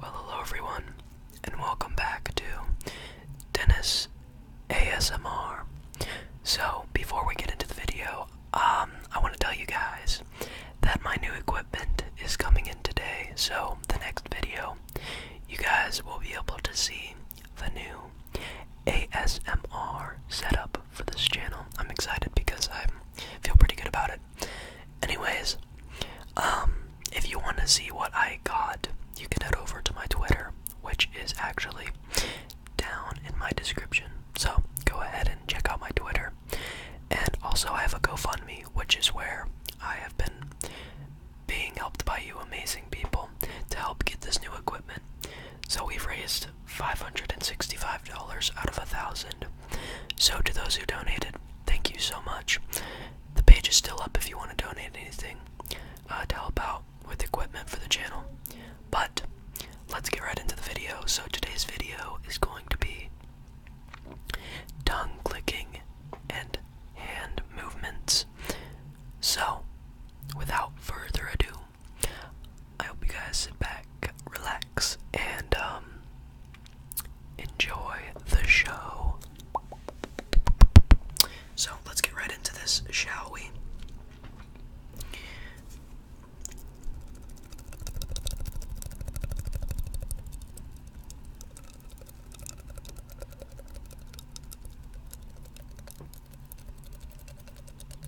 Well, hello everyone, and welcome back to Dennis ASMR. So, before we get into the video, um, I want to tell you guys that my new equipment is coming in today. So, the next video, you guys will be able to see the new ASMR setup for this channel. I'm excited because I feel pretty good about it. Anyways, um, if you want to see what I got, you can head over to my Twitter, which is actually down in my description. So go ahead and check out my Twitter. And also, I have a GoFundMe, which is where I have been being helped by you amazing people to help get this new equipment. So we've raised $565 out of a thousand so, to those who donated, thank you so much. The page is still up if you want to donate anything uh, to help out with equipment for the channel. But let's get right into the video. So, today's video is going to be tongue clicking and hand movements. So, without further ado, I hope you guys sit back, relax, and um, enjoy the show. So let's get right into this, shall we?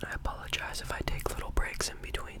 And I apologize if I take little breaks in between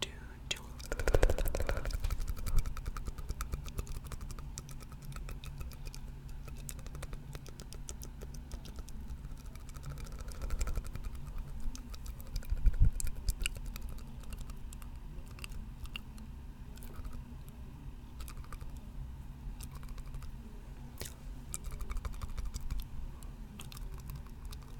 do, do.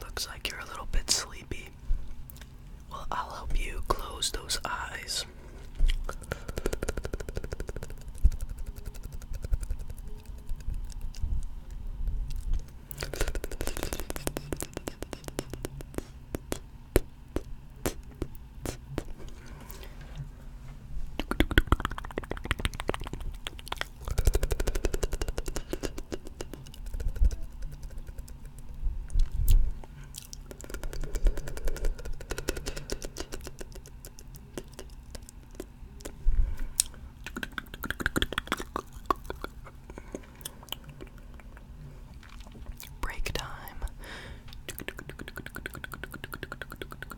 Looks like you're a little bit sleepy. Well, I'll help you close those eyes. Break time.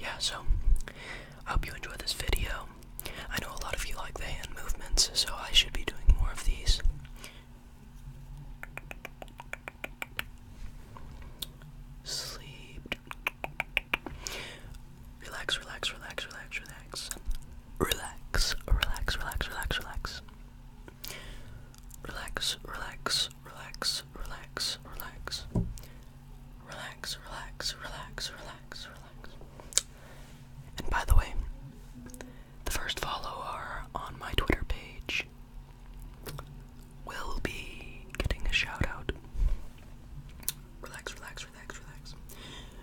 Yeah, so I hope you enjoyed this video. I know a lot of you like the hand movements, so I should be doing more of these. Sleep. Relax, relax, relax, relax, relax. Relax, relax, relax, relax, relax. Relax, relax, relax, relax, relax. Relax, relax, relax, relax, relax. And by the way, the first follower on my Twitter page will be getting a shout out. Relax, relax, relax, relax.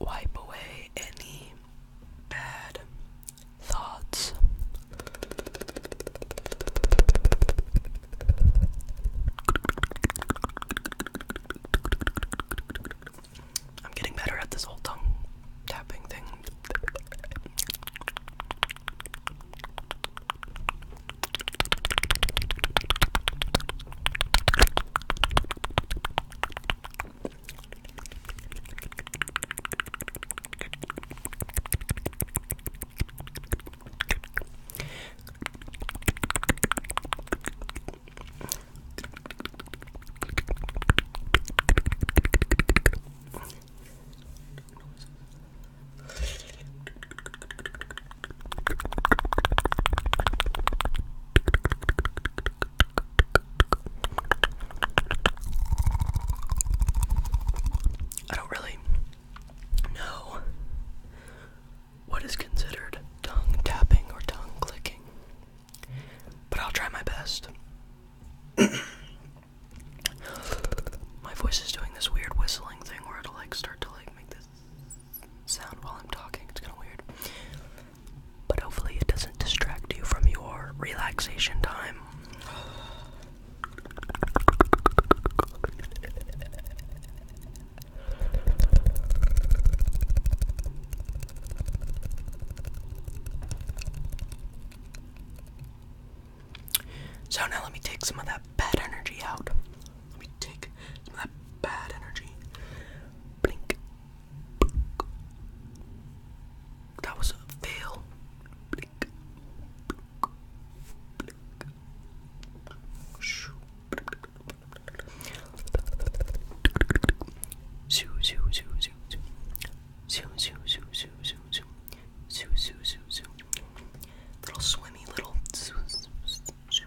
Wipe away any bad thoughts. I'm getting better at this whole tongue tapping thing. I don't really know what is considered tongue tapping or tongue clicking. But I'll try my best. my voice is doing this weird whistling thing where it'll like start to like make this sound while I'm talking. It's kind of weird. But hopefully it doesn't distract you from your relaxation time. So now let me take some of that bad energy out. Let me take some of that bad energy. That was a fail. Zoo, zoo, zoo, zoo, zoo. Zoo, zoo, zoo, zoo, zoo, zoo. Zoo, zoo, zoo, zoo. Little swimmy, little. Zoo, zoo, zoo.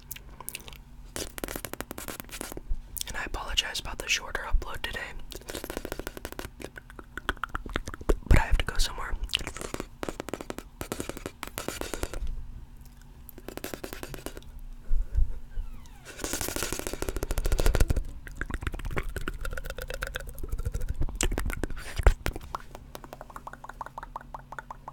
And I apologize about the shorter upload today. But I have to go somewhere.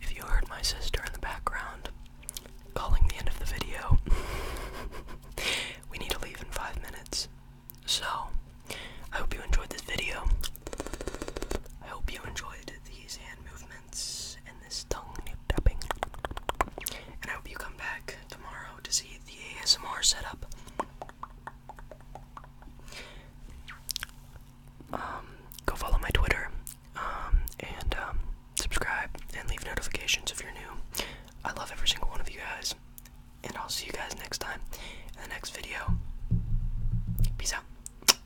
If you heard my sister in the background calling the end of the video, we need to leave in five minutes. So, I hope you enjoyed this video. I hope you enjoyed these hand movements and this tongue nip tapping. And I hope you come back tomorrow to see the ASMR setup. Um, go follow my Twitter, um, and um, subscribe and leave notifications if you're new. I love every single one of you guys, and I'll see you guys next time in the next video. Peace out.